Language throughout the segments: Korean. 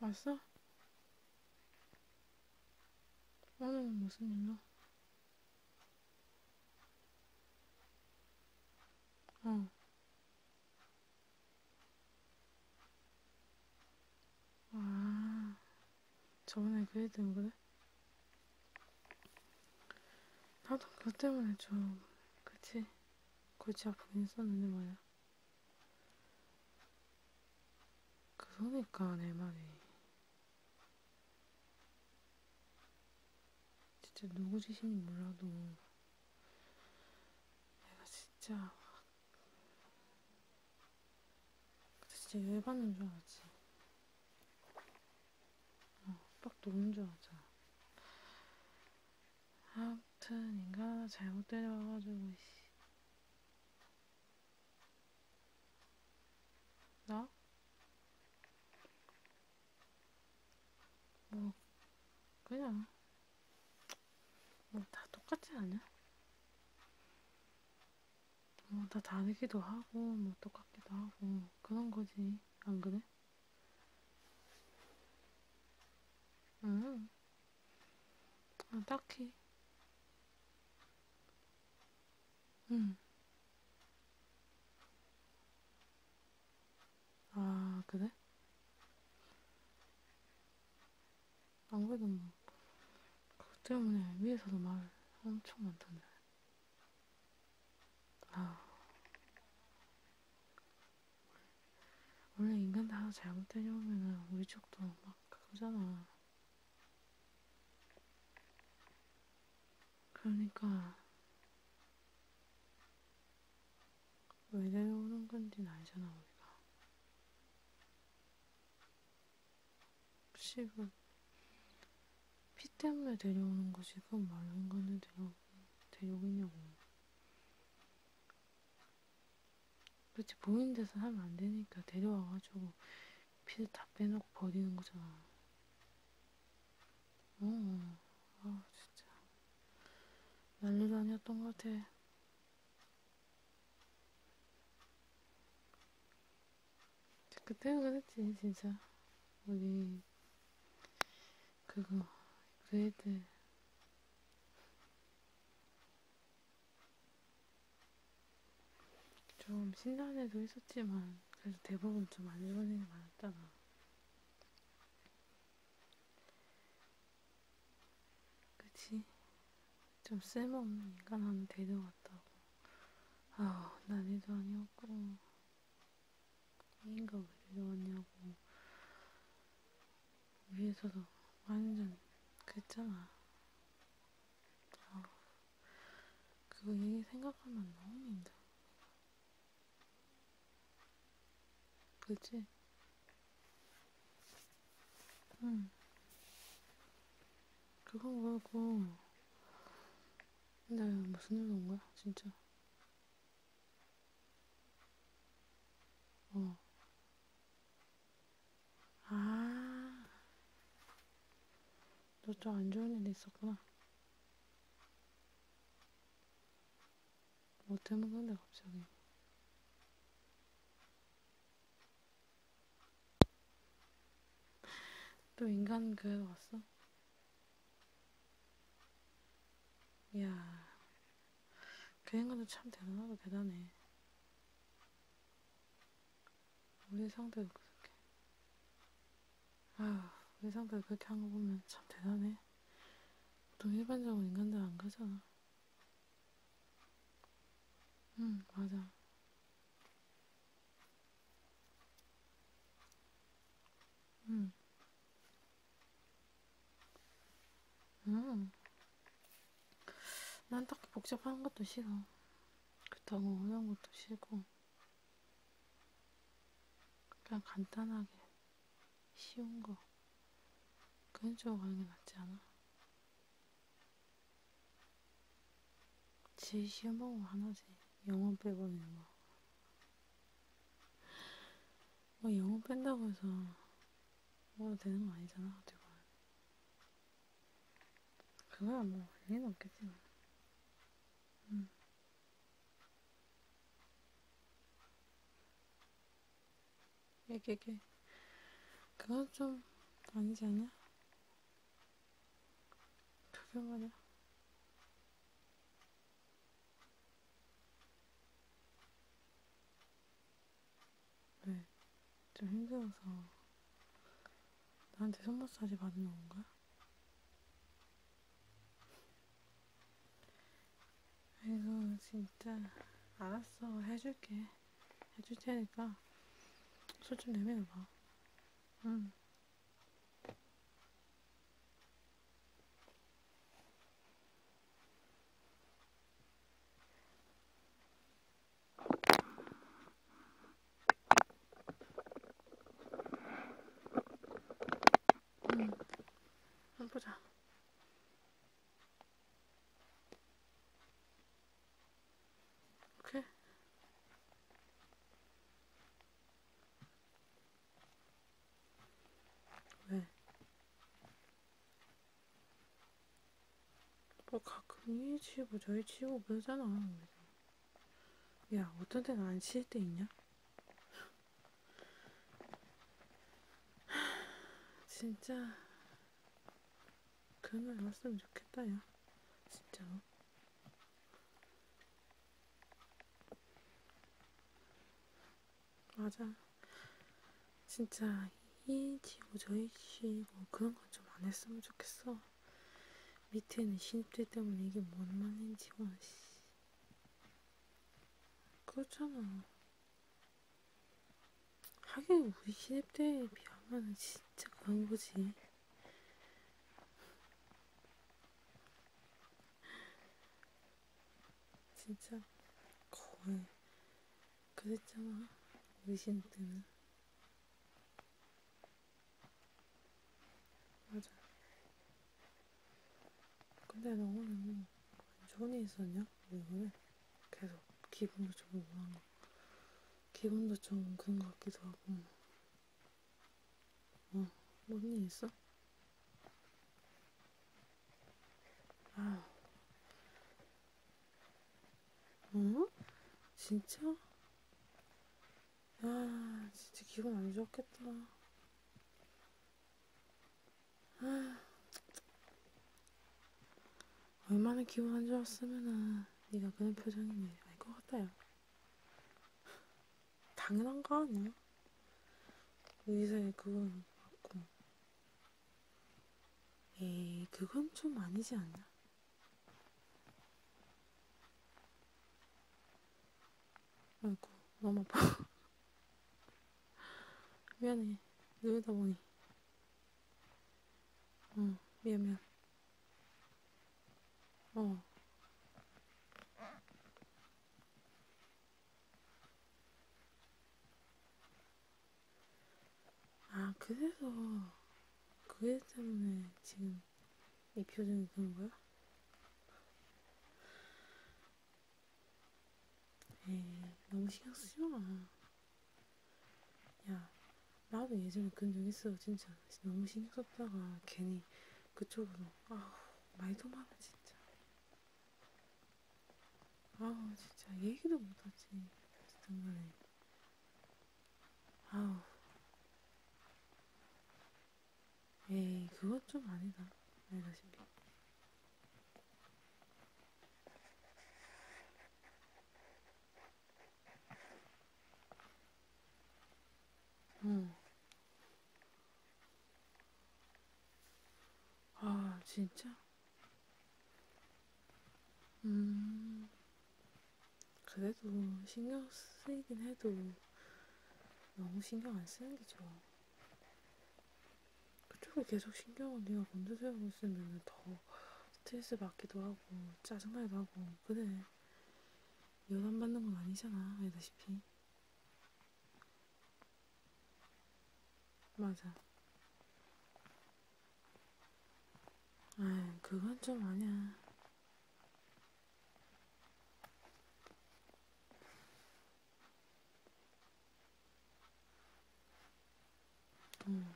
왔어? 오늘은 무슨 일로? 어. 아, 저번에 그래야 되는 거네? 나도 그것 때문에 좀, 그치? 골치 아프긴 했었는데 말이야. 그러니까 내 말이. 진짜 누구 짓인지 몰라도 내가 진짜 진짜 열받는 줄 알았지. 어, 빡 노는 줄 알았잖아. 아무튼 인간아 잘못 데려와가지고 씨. 나? 뭐 그냥 뭐 다 똑같지 않냐? 뭐다 다르기도 하고 뭐 똑같기도 하고 그런 거지 안 그래? 응. 아, 딱히. 응. 아, 그래? 아무래도 뭐, 그것 때문에 위에서도 말 엄청 많던데. 아. 원래 인간 다 잘못되려면 우리 쪽도 막 그러잖아. 그러니까 왜 내려오는 건지 알잖아 우리가 혹시분 피 때문에 데려오는 것이 그 많은 거는 데려 데려오겠냐고. 그렇지 보이는 데서 하면 안 되니까 데려와가지고 피를 다 빼놓고 버리는 거잖아. 어, 아 진짜 난리도 아니었던 것 같아. 그때는 그랬지 진짜 우리 그거 그애들 좀 신난 애도 있었지만 그래도 대부분 좀 안 좋은 일이 많았잖아 그치 좀 쓸모없는 인간하면 되는 것 같다고. 아, 난이도 아니었고, 인가 그래도 왔냐고. 위에서도 완전 그랬잖아. 아, 그거 얘기 생각하면 너무 힘들어. 그치? 응. 음. 그거 말고 나 무슨 일로 온 거야 진짜? 어. 아. 너 좀 안 좋은 일 있었구나. 뭐 때문에 근데 갑자기. 또 인간극 왔어? 이야, 그 인간도 참 대단하고 대단해. 우리 상대도 그렇게. 아휴, 우리 상대도 그렇게 한 거 보면 참 대단해. 보통 일반적으로 인간들 안 가잖아. 응, 맞아. 응. 응. 난 딱히 복잡한 것도 싫어. 그렇다고 어려운 것도 싫고. 그냥 간단하게 쉬운 거. 그런 쪽으로 가는 게 낫지 않아? 제 시험 보고 하나지. 영어 빼버리는 거. 뭐 어, 영어 뺀다고 해서 뭐가 되는 거 아니잖아, 어떻게 보면. 그거야 뭐 일리는 없겠지만. 응. 얘기게 그건 좀 아니지 않냐? 그게 뭐냐? 왜? 좀 힘들어서 나한테 손 마사지 받는 건가? 아이고 진짜 알았어 해줄게 해줄 테니까 술 좀 내밀어 봐. 응. 음. 응. 음. 한번 보자. 이렇게 왜? 뭐 가끔 이 치고 저희 치고 그러잖아 야 어떤 데는 안 치일 때 있냐? 진짜 그런 날 왔으면 좋겠다, 야. 진짜로. 맞아. 진짜 이지고 저이지고 그런 건 좀 안 했으면 좋겠어. 밑에는 신입들 때문에 이게 뭔 말인지 와 씨. 그렇잖아. 하긴 우리 신입 때에 비하면 진짜 그런 거지. 진짜 거의 그랬잖아. 우리 신입 때는. 맞아. 근데 너 오늘 뭐, 안 좋은 일 있었냐? 왜 그래? 계속 기분도 좋은 거 하는 거. 기분도 좀 그런 것 같기도 하고. 어, 뭔일 있어? 아, 어? 진짜? 야, 아, 진짜 기분 안 좋았겠다. 아, 얼마나 기분 안 좋았으면은 네가 그런 표정이면 알것 같아요. 당연한 거 아니야? 의사에 그건 맞고. 에이, 그건 좀 아니지 않냐? 아이고, 너무 아파. 미안해. 누르다 보니. 응, 미안, 미안. 어. 아, 그래서, 그게 때문에 지금 이 표정이 그런 거야? 에이, 너무 신경 쓰지 마. 야, 나도 예전에 그런 적 있어. 진짜 너무 신경 썼다가 괜히 그쪽으로 아우 말도 많아 진짜. 아우 진짜 얘기도 못하지. 정말 아우. 에이, 그것 좀 아니다. 알다시피. 응. 음. 아, 진짜? 음. 그래도 신경 쓰이긴 해도 너무 신경 안 쓰는 게 좋아. 그쪽을 계속 신경을 내가 먼저 세우고 있으면 더 스트레스 받기도 하고 짜증나기도 하고 그래 여담 받는 건 아니잖아 알다시피 맞아 아 그건 좀 아니야 음.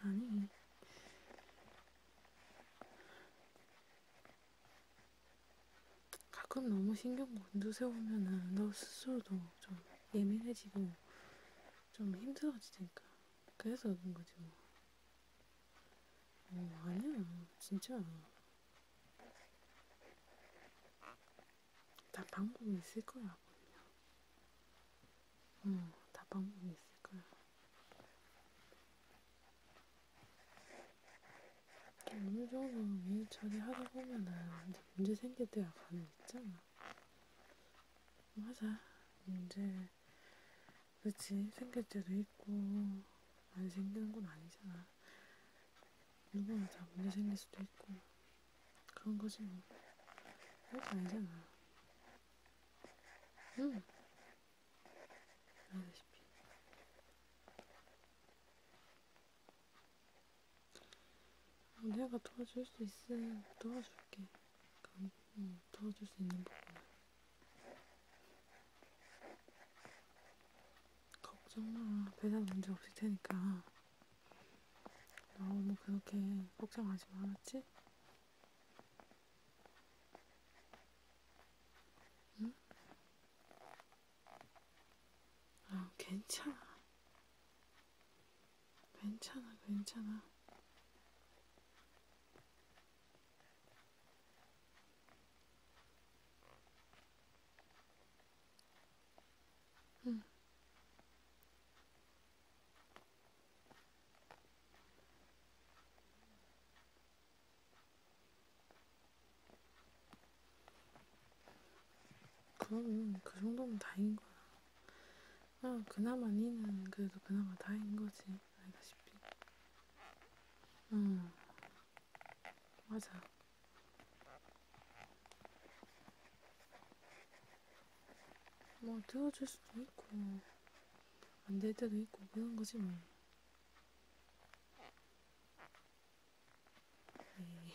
아니. 가끔 너무 신경 곤두세우면은 너 스스로도 좀 예민해지고 좀 힘들어지니까. 그래서 그런 거지 뭐. 어, 아니야. 진짜. 다 방법이 있을 거야, 아버님. 응, 다 방법이 있을 거야. 너무 좋아서 일처리 하다 보면은 이제 문제 생길 때가 간혹 있잖아. 맞아. 문제, 그치. 생길 때도 있고, 안 생기는 건 아니잖아. 일본은 다 문제 생길 수도 있고 그런 거지 뭐. 별거 아니잖아. 응. 알다시피. 내가 도와줄 수 있으면 도와줄게. 응, 도와줄 수 있는 부분. 걱정 마. 배달 문제 없을 테니까. 너무 그렇게 걱정하지 마, 알았지? 응? 아, 괜찮아. 괜찮아, 괜찮아. 응. 그러면 그 정도면 다인 거야. 아, 그나마 니는 그래도 그나마 다인 거지. 알다시피. 응. 맞아. 뭐 들어줄 수도 있고 안 될 때도 있고 그런 거지 뭐. 에이.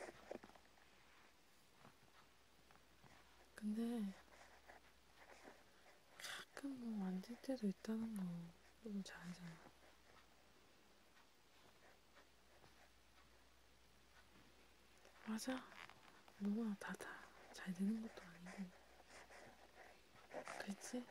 예. 근데 가끔 몸 뭐 안 될 때도 있다는 거 너무 잘 알잖아. 맞아. 뭐가 다다 잘 되는 것도 아니고. 그렇지?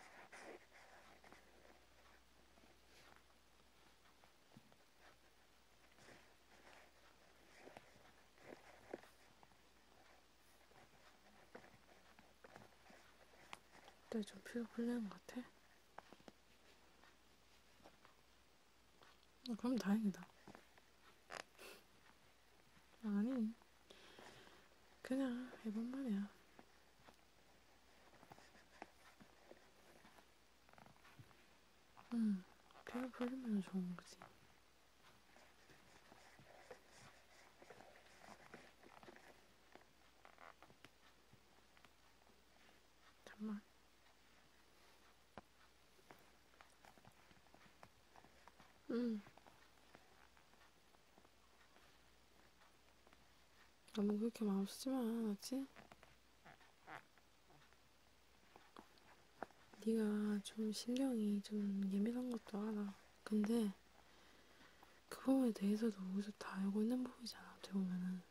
그때 좀 피가 풀리는 것 같아? 아, 그럼 다행이다. 아니, 그냥 해본 말이야. 응, 피가 풀리면 좋은 거지. 잠만. 음. 너무 그렇게 마음 쓰지 마, 알았지? 네가 좀 신경이 좀 예민한 것도 알아. 근데 그 부분에 대해서도 우리도 다 알고 있는 부분이잖아, 어떻게 보면은.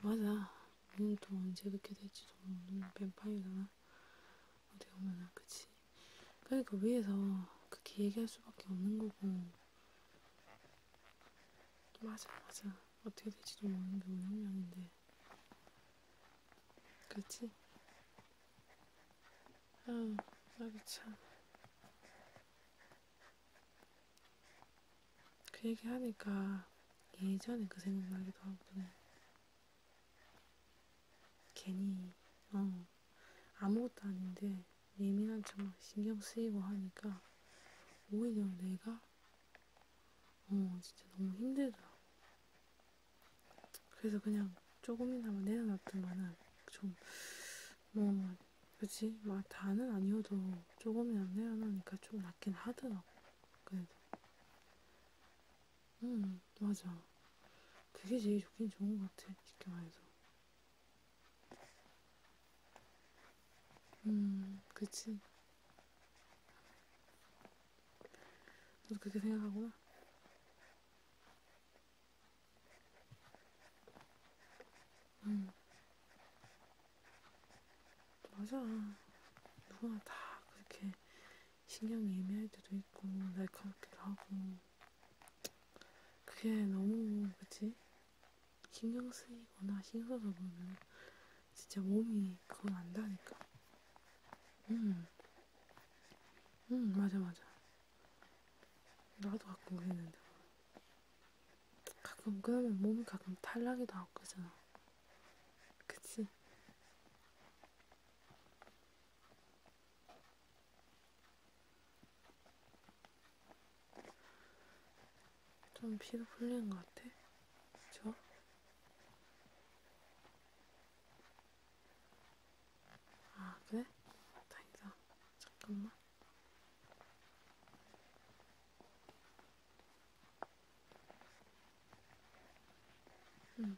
맞아. 우리는 또 언제 그렇게 될지도 모르는 뱀파이어잖아. 어떻게 보면은, 그치. 그러니까 위에서 그렇게 얘기할 수밖에 없는 거고. 맞아, 맞아. 어떻게 될지도 모르는 게 우리 한 명인데. 그치? 아유, 나도 참. 그 얘기 하니까 예전에 그 생각나기도 하거든. 괜히, 어, 아무것도 아닌데 예민한 척 신경 쓰이고 하니까 오히려 내가, 어, 진짜 너무 힘들더라고. 그래서 그냥 조금이나마 내려놨던 만한 좀, 뭐, 그치? 막 뭐, 다는 아니어도 조금이나마 내려놓으니까 좀 낫긴 하더라고. 그래도. 음, 맞아. 그게 제일 좋긴 좋은 것 같아, 쉽게 말해서. 음, 그치. 너도 그렇게 생각하구나. 응. 음. 맞아. 누구나 다 그렇게 신경이 예민할 때도 있고, 날카롭기도 하고. 그게 너무, 그치? 신경 쓰이거나 신경 써서 보면 진짜 몸이 그걸 안다니까. 응. 음. 응, 음, 맞아, 맞아. 나도 가끔 그랬는데 가끔 그러면 몸이 가끔 탈락이도 하고 그러잖아 그치? 좀 피로 풀리는 것 같아? 그쵸? 아, 그래? 다행이다. 잠깐만. 응.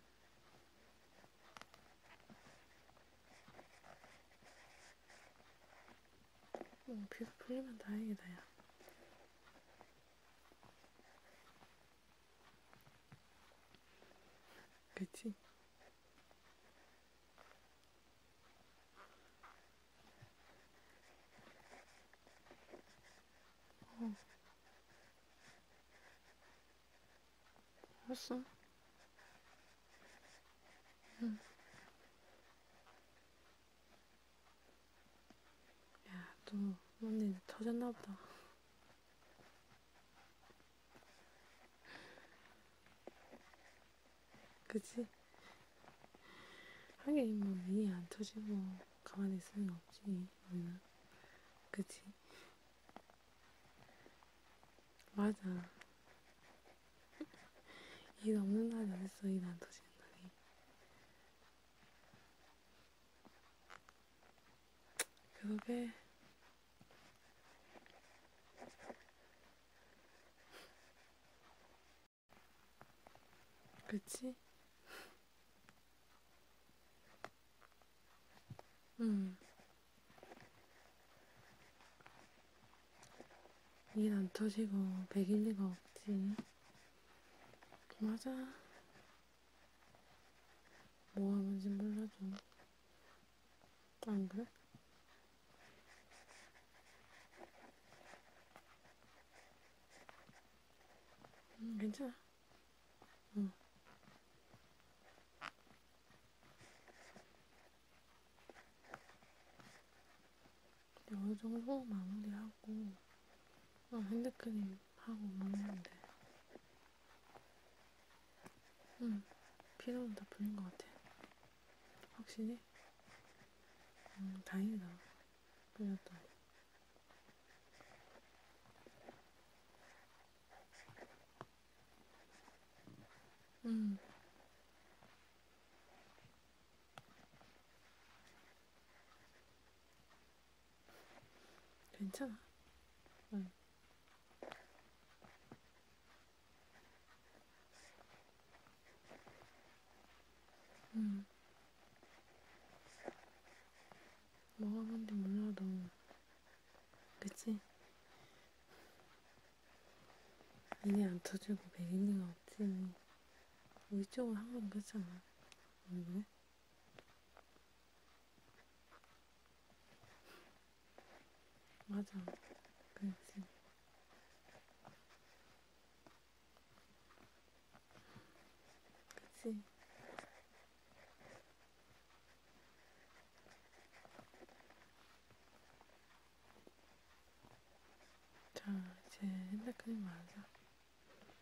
뭐, 비가 풀리면 다행이다, 야. 그치? 어. 알았어. 응. 야, 또, 언니 터졌나 보다. 그치? 하긴 뭐 일이 안 터지고 가만히 있으면 없지 우리는 그치? 맞아 일 없는 날이 어딨어 일 안 터지는 날이 그러게 그치? 응. 일안 터지고 백일 리가 없지. 맞아. 뭐 하는지 몰라도 안 그래? 음, 괜찮아. 응. 근데 어느 정도 마무리하고, 어, 핸드크림 하고 먹는데. 응, 음, 피로는 다 풀린 것 같아. 확실히? 음, 다행이다. 풀렸다. 음. 괜찮아. 응. 응. 음. 뭐가 뭔지 몰라도, 그치? 이게 안 터지고 베리니가 없지. 우리 쪽은 항상 그렇잖아. 왜 그래? 맞아. 그랬지. 그치. 자, 이제 핸드크림 말자.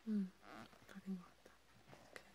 응, 다린 것 같다. 오케이.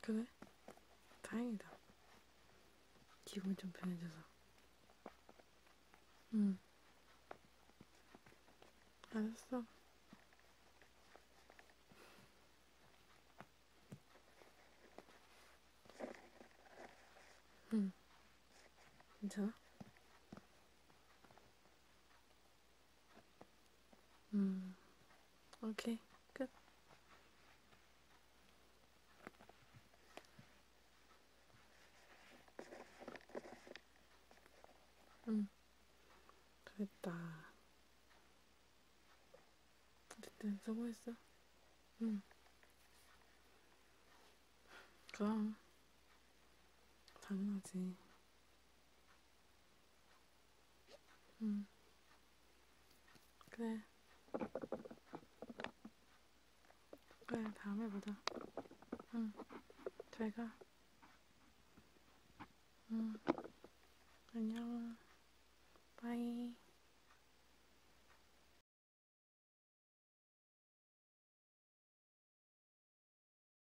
그래? 다행이다. 기분 좀 편해져서. 응. 알았어. 응. 괜찮아? 음, 오케이, 끝. 응, 음. 그랬다. 어쨌든 수고했어. 응. 음. 그럼, 당연하지. 응. 음. 그래. 그래, 다음에 보자. 응. 잘 가. 응. 안녕. 바이.